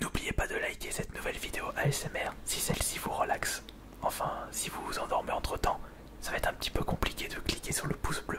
N'oubliez pas de liker cette nouvelle vidéo ASMR si celle-ci vous relaxe. Enfin, si vous vous endormez entre temps, ça va être un petit peu compliqué de cliquer sur le pouce bleu.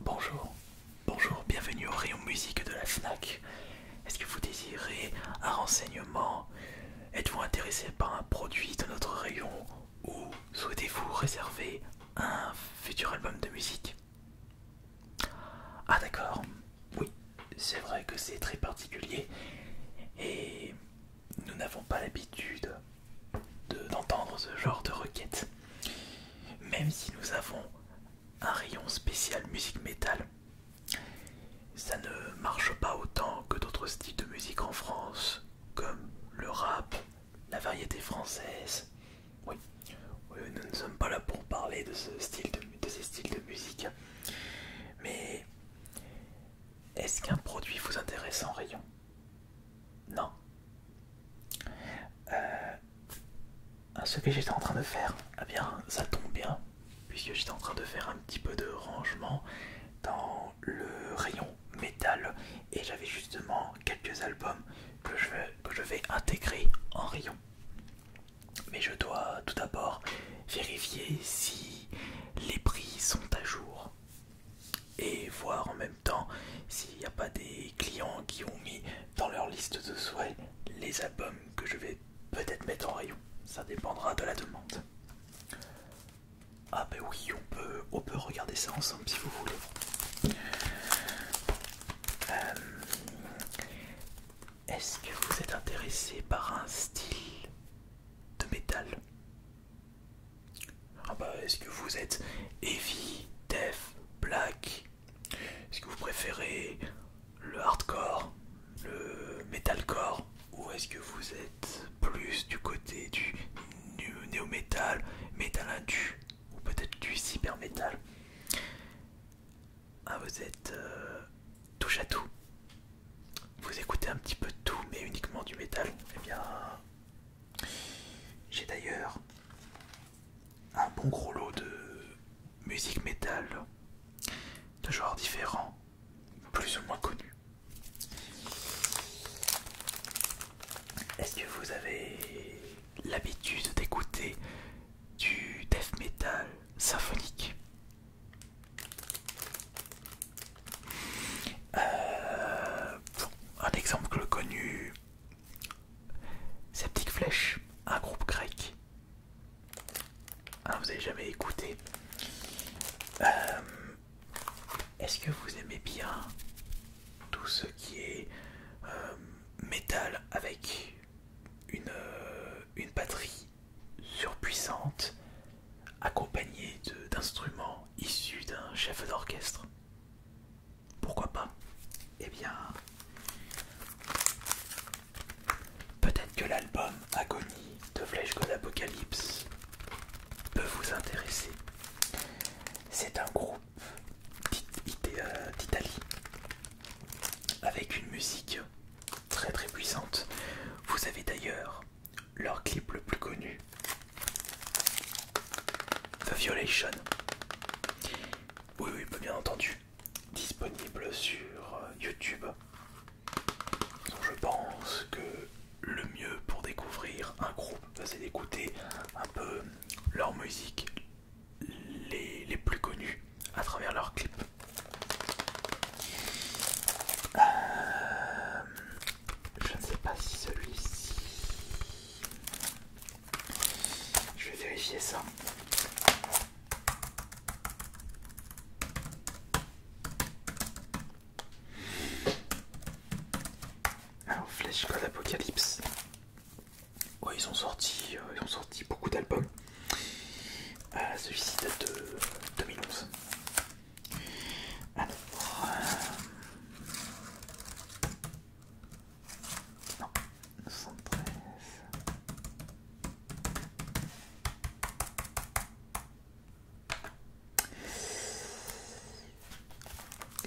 Bonjour, bonjour, bienvenue au rayon musique de la FNAC. Est-ce que vous désirez un renseignement Êtes-vous intéressé par un produit de notre rayon ou souhaitez-vous réserver un futur album de musique Ah d'accord, oui, c'est vrai que c'est très particulier et nous n'avons pas l'habitude d'entendre ce genre de requêtes. Même si nous avons un rayon spécial musique métal, ça ne marche pas autant que d'autres styles de musique en France, comme le rap, la variété française. Oui, euh, nous ne sommes pas là pour parler de, ce style ces styles de musique, mais est-ce qu'un produit vous intéresse en rayon Non. Euh, ce que j'étais en train de faire, eh bien, ça tombe bien, puisque j'étais en train de faire un petit peu de rangement dans le rayon métal et j'avais justement quelques albums que je vais intégrer en rayon mais je dois tout d'abord vérifier si les prix sont à jour et voir en même temps s'il n'y a pas des clients qui ont mis dans leur liste de souhaits les albums que je vais peut-être mettre en rayon. Ça dépendra de la demande. Ah ben oui, on peut, on peut regarder ça ensemble si vous voulez. Euh, est-ce que vous êtes intéressé par un style de métal ah bah, Est-ce que vous êtes heavy, death, black Est-ce que vous préférez le hardcore, le metalcore Ou est-ce que vous êtes plus du côté du néo métal métal indu ou peut-être du cyber-metal ah, vous êtes euh, touche à tout. Vous écoutez un petit peu de tout, mais uniquement du métal. Eh bien, j'ai d'ailleurs un bon gros lot de musique métal de genres différents, plus ou moins connus. Est-ce que vous avez l'habitude d'écouter du death metal symphonique euh, un exemple connu, Sceptic Flèche, un groupe grec. Hein, vous n'avez jamais écouté. Euh, est-ce que vous aimez bien tout ce qui est euh, métal avec une, euh, une batterie surpuissante accompagnée d'instruments issus d'un chef d'orchestre. Pourquoi pas Eh bien, peut-être que l'album Agonie de Flèche God Apocalypse peut vous intéresser. C'est un groupe euh, d'Italie avec une musique très très puissante. Vous avez d'ailleurs leur clip le plus connu, The Violation. Oui, oui, bien entendu, disponible sur euh, YouTube. je pense que le mieux pour découvrir un groupe, bah, c'est d'écouter un peu leur musique, les, plus connus à travers leurs clips. Euh, je ne sais pas si celui-ci. Je vais vérifier ça. Alors Flash God Apocalypse. ils ont sorti, euh, ils ont sorti beaucoup d'albums. Euh, Celui-ci date de 2011. Alors, euh...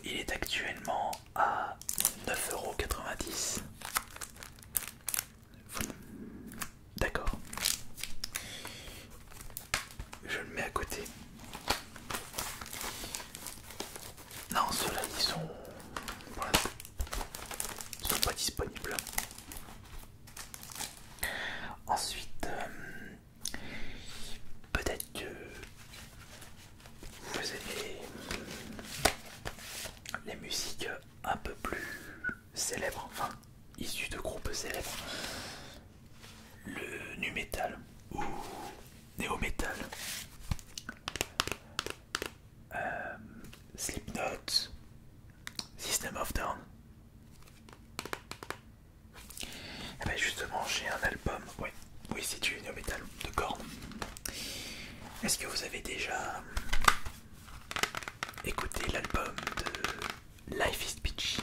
Il est actuellement à 9,90€. D'accord. Je le mets à côté. Non, ceux-là, ils sont... sont pas disponibles. Ensuite, euh, peut-être que vous avez les musiques un peu plus célèbre, enfin issu de groupes célèbres, le nu metal ou néo metal, euh, Slipknot, System of Down. Et eh ben justement, j'ai un album, oui, oui c'est du néo metal de Corne. Est-ce que vous avez déjà Écoutez l'album de Life is Peachy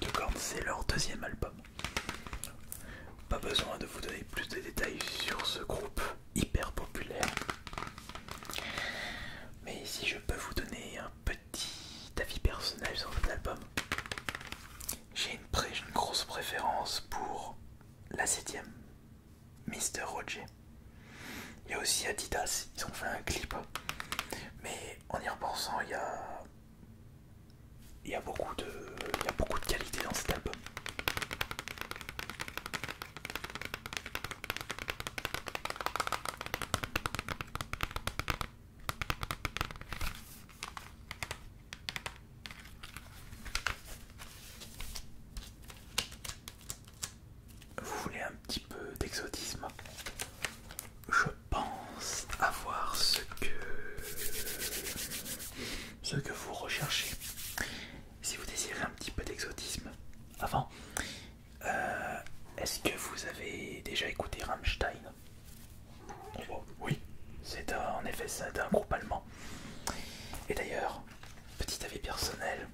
de Gorn, c'est leur deuxième album. Pas besoin de vous donner plus de détails sur ce groupe hyper populaire. Mais si je peux vous donner un petit avis personnel sur cet album, j'ai une grosse préférence pour la septième Mister Roger. Il y a aussi Adidas, ils ont fait un clip. Mais en y repensant, il y a, il beaucoup, de... Il y a beaucoup de qualité dans cet album. Vous voulez un petit peu d'exotisme Je pense avoir ce que ce que vous recherchez. Si vous désirez un petit peu d'exotisme, avant, euh, est-ce que vous avez déjà écouté Rammstein Oui, c'est en effet ça d'un groupe allemand. Et d'ailleurs, Petit avis personnel,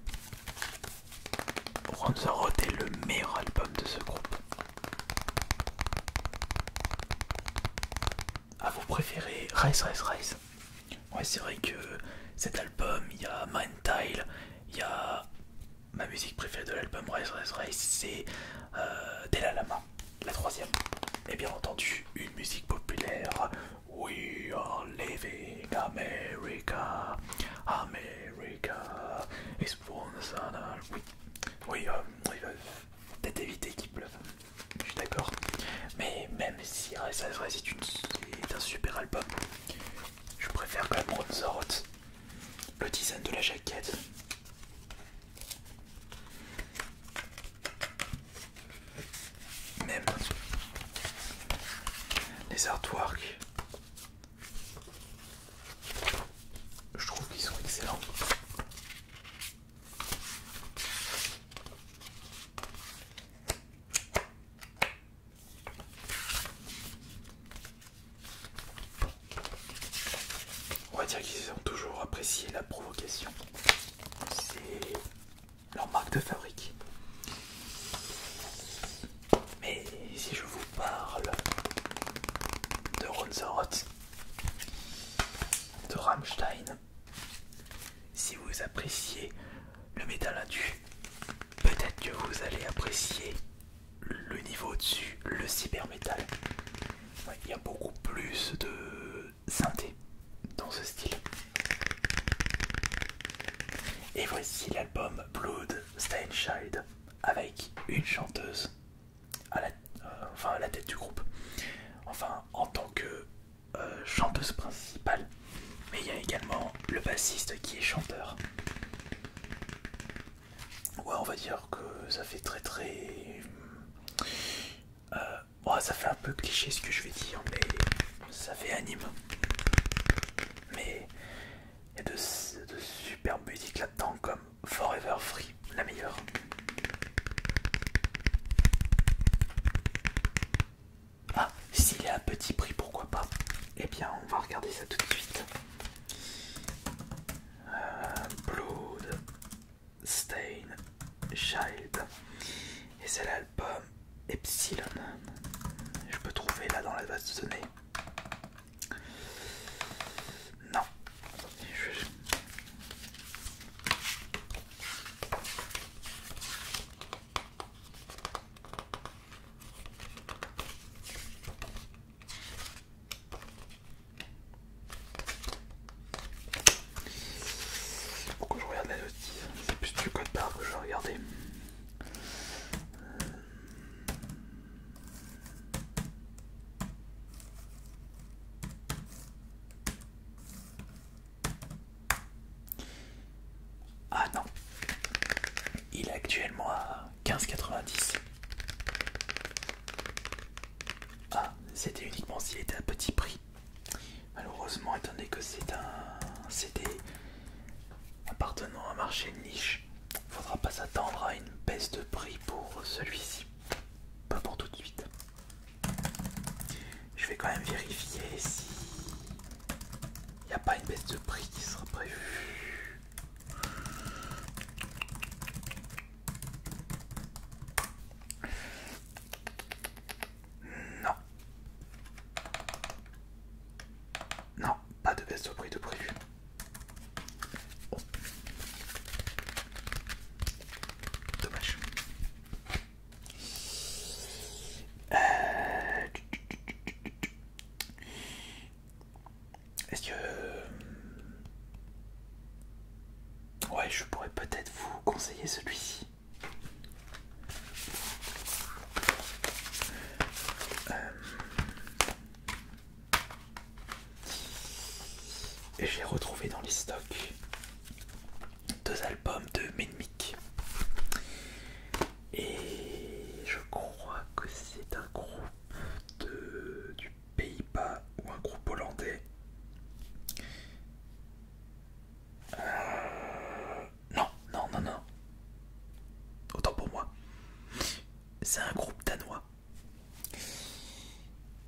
pour Rote est le meilleur album de ce groupe. A vous préférer Rise, Rise, Rise Ouais, c'est vrai que cet album, il y a Mind Tile, il y a ma musique préférée de l'album Rise, Rise, Rise, c'est euh, Della Lama, la troisième. Et bien entendu, une musique populaire, We are leaving America. America is for the Oui, oui, euh, euh, peut-être éviter qu'il pleuve. Je suis d'accord. Mais même si ça reste un super album, je préfère quand même Le design de la jaquette. Même les artworks, je trouve qu'ils sont excellents. On va dire qu'ils ont toujours apprécié la provocation. C'est leur marque de fabrique. Mais si je vous parle de Ronzorot, de Rammstein, si vous appréciez le métal indu, peut-être que vous allez apprécier le niveau dessus le cyber-métal. Il y a beaucoup plus de, synthé dans ce style. Et voici l'album Blood Stain avec une chanteuse à la, euh, enfin la tête du groupe, enfin en tant que euh, chanteuse principale, mais il y a également le bassiste qui est chanteur. Ouais, on va dire que ça fait très très. Euh, Bon, ça fait un peu cliché ce que je vais dire, mais ça fait anime. Mais il y a de, superbes musiques là-dedans, comme Forever Free, la meilleure. Ah, s'il est à petit prix, pourquoi pas Eh bien, on va regarder ça tout de suite. Euh, Blood, Stain Child et c'est l'album Epsilon. Je peux trouver là dans la base de données. Non. Pourquoi je regarde la notice C'est plus du code barre que je vais regarder. Ah non, il est actuellement à 15,90. Ah, c'était uniquement s'il était à petit prix. Malheureusement, étant donné que c'est un CD appartenant à un marché de niche, il faudra pas s'attendre à une baisse de prix pour celui-ci. Pas pour tout de suite. Je vais quand même vérifier si il n'y a pas une baisse de prix qui sera prévue. Non. Non, pas de baisse au prix de prévu. Dommage. Euh, Est-ce que... Euh, Ouais, je pourrais peut-être vous conseiller celui-ci. Et euh, j'ai retrouvé dans les stocks deux albums de Menmic. Et je crois que c'est un groupe de, du Pays-Bas ou un groupe hollandais euh, non, non, non, non. Autant pour moi. C'est un groupe danois.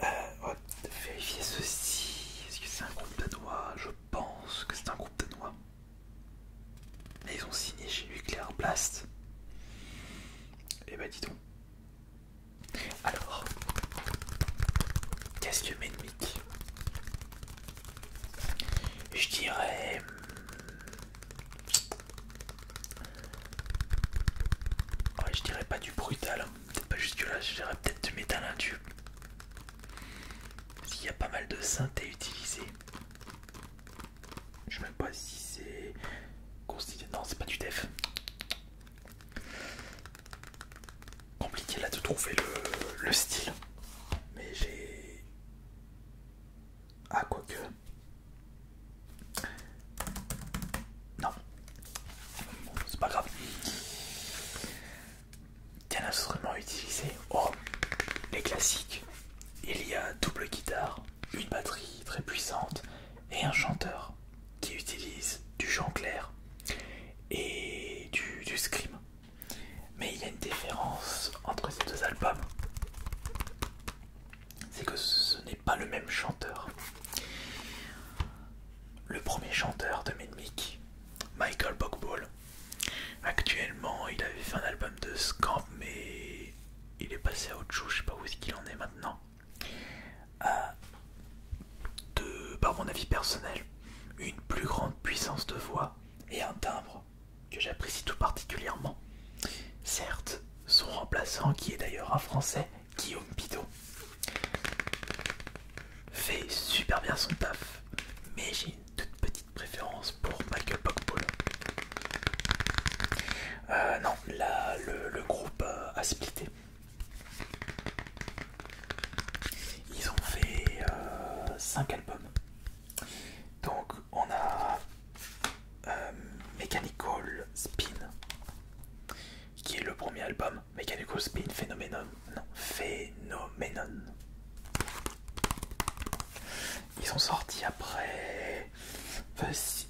Euh, vérifier ceci. Est-ce que c'est un groupe danois Je pense que c'est un groupe danois. Mais ils ont signé chez Nuclear Blast. Eh ben, dis donc. Alors, qu'est-ce que Medmic Je dirais... Hmm, ouais, je dirais pas du brutal, hein. peut-être pas jusque-là, je dirais peut-être du métal indu. S'il y a pas mal de synthé utilisées. Je sais même pas si c'est Non, c'est pas du def compliqué là de trouver le, style. Mais j'ai... Ah, quoi que... Non. c'est pas grave. Quel instrument utiliser Oh, les classiques. Il y a double guitare, une batterie très puissante et un chanteur qui utilise du chant clair et du, scream. Mais il y a une différence entre ces deux albums, c'est que ce n'est pas le même chanteur. Le premier chanteur de Menmic, Michael Bogball. actuellement il avait fait un album de Scamp mais il est passé à autre je sais pas où est-ce qu'il en est maintenant a, euh, de, par mon avis personnel, une plus grande puissance de voix et un timbre que j'apprécie tout particulièrement. Certes, son remplaçant, qui est d'ailleurs un Français, Guillaume Bidot, fait super bien son taf, mais j'ai une toute petite préférence pour Michael Buckball. Euh, non, là, le, groupe euh, a splitté. Ils ont fait 5 euh, albums. Donc on a euh, Mechanical Spin, qui est le premier album. Mechanical Spin Phenomenon. Non, Phenomenon. Ils sont sortis après...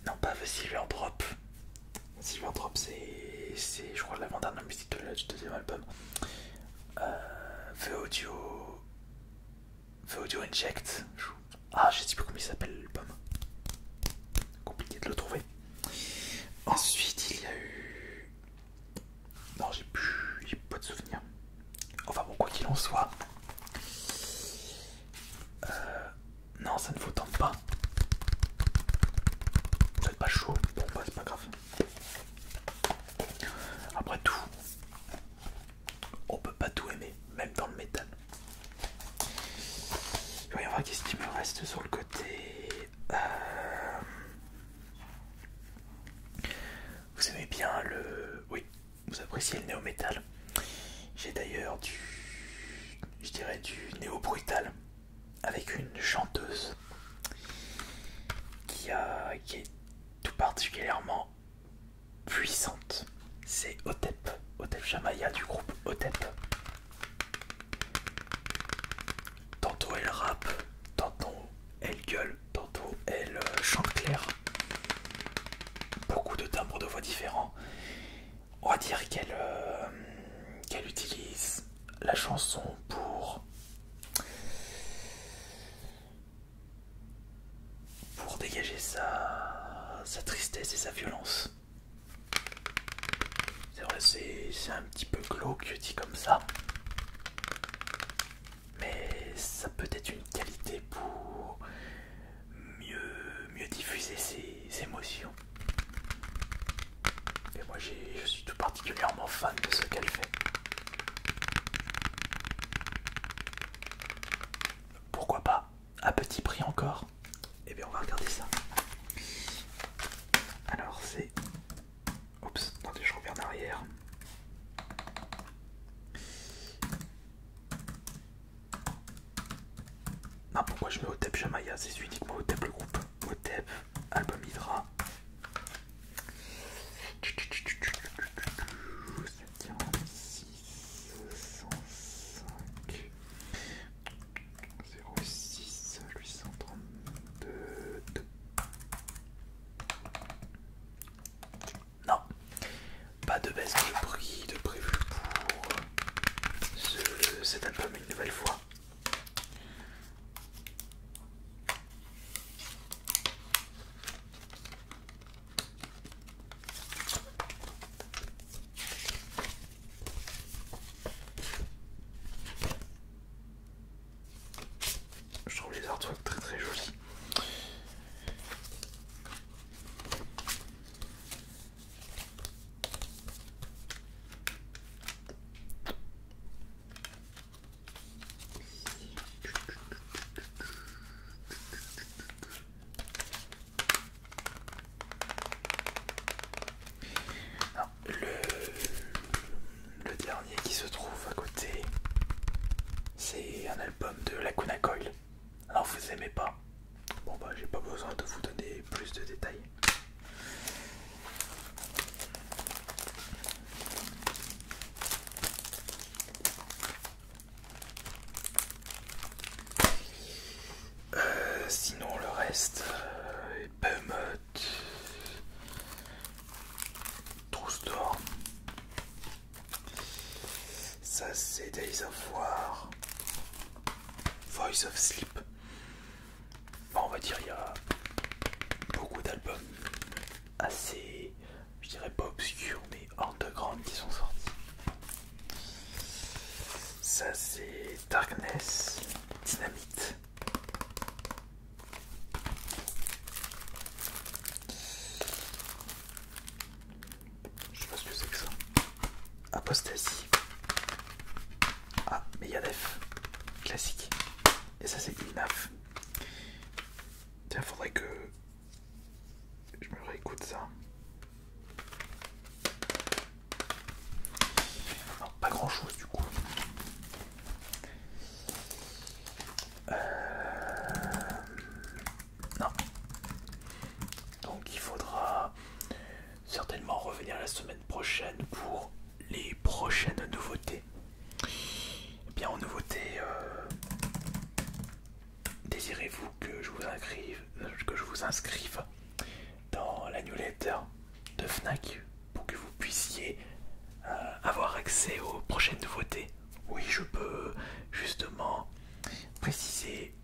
Non, pas The Silver Drop. Silverdrop, c'est, je crois, l'avant-dernière musique de, du deuxième album. Euh, Audio. Audio Inject. Ah, je sais plus comment il s'appelle l'album. Compliqué de le trouver. Ensuite, il y a eu. Non, j'ai plus. J'ai pas de souvenir. Enfin, bon, quoi qu'il en soit. Euh, non, ça ne faut pas. Vous n'êtes pas chaud. Bon, bah, c'est pas grave. Après tout, on peut pas tout aimer, même dans le métal. Voyons voir qu'est-ce qui me reste sur le côté. Euh, vous aimez bien le. Oui, vous appréciez le néo-métal. J'ai d'ailleurs du je dirais du néo-brutal, avec une chanteuse qui, est tout particulièrement puissante. C'est Otep, Otep Jamaya du groupe Otep. Tantôt elle rappe, tantôt elle gueule, tantôt elle euh, chante clair. Beaucoup de timbres de voix différents on va dire qu'elle euh, qu'elle utilise la chanson pour pour dégager sa, sa tristesse et sa violence. C'est vrai, c'est un petit peu glauque dis comme ça, mais ça peut être une qualité pour mieux, mieux diffuser ses, émotions. Et moi je suis tout particulièrement fan de ce qu'elle fait. Pourquoi pas À petit prix encore Eh bien on va regarder ça. Alors c'est... Oups, attendez, je reviens en arrière. Non, pourquoi je mets Otep Jamaya C'est uniquement Otep le groupe. Otep, album Hydra. C'est 46 105 06 832. Non, pas de baisse de prix de prévu pour cet album une nouvelle fois. Je trouve les artworks très très jolis le, dernier qui se trouve à côté, c'est un album de Lacuna Coil. Alors vous aimez pas Bon bah j'ai pas besoin de vous donner plus de détails. Euh, sinon le reste euh, est Behemoth Trousse store. Ça c'est des avoirs Voice of Sleep. Bon, on va dire il y a beaucoup d'albums assez, je dirais pas obscurs, mais underground qui sont sortis. Ça c'est Darkness, Dynamite. Je sais pas ce que c'est que ça. Apostasie. Ah, mais Yadef. Classique. Et ça, c'est Inaf. Tiens, faudrait que je me réécoute ça. Non, pas grand chose du coup. Euh, non. Donc il faudra certainement revenir la semaine prochaine pour les prochaines nouveautés. Eh bien en nouveautés, euh, désirez-vous que je vous inscrive, euh, que je vous inscrive dans la newsletter de Fnac pour que vous puissiez euh, avoir accès aux prochaines nouveautés. Oui, je peux justement préciser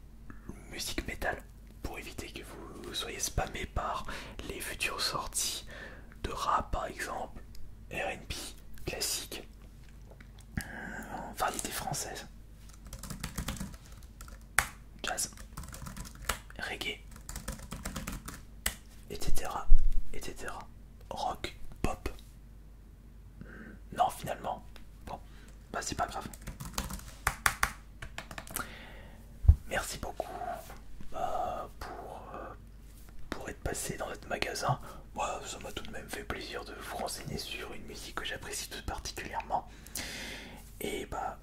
musique metal pour éviter que vous soyez spammé par les futures sorties de rap par exemple, RB, classique, euh, variété française, jazz, reggae, etc. etc. rock, pop, non, finalement. Bon, bah c'est pas grave. Merci beaucoup euh, euh, pour, être passé dans notre magasin. Moi, ça m'a tout de même fait plaisir de vous renseigner sur une musique que j'apprécie tout particulièrement. Et bah,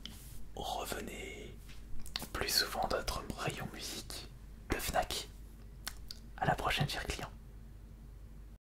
revenez plus souvent dans notre rayon musique le Fnac. À la prochaine, chers clients.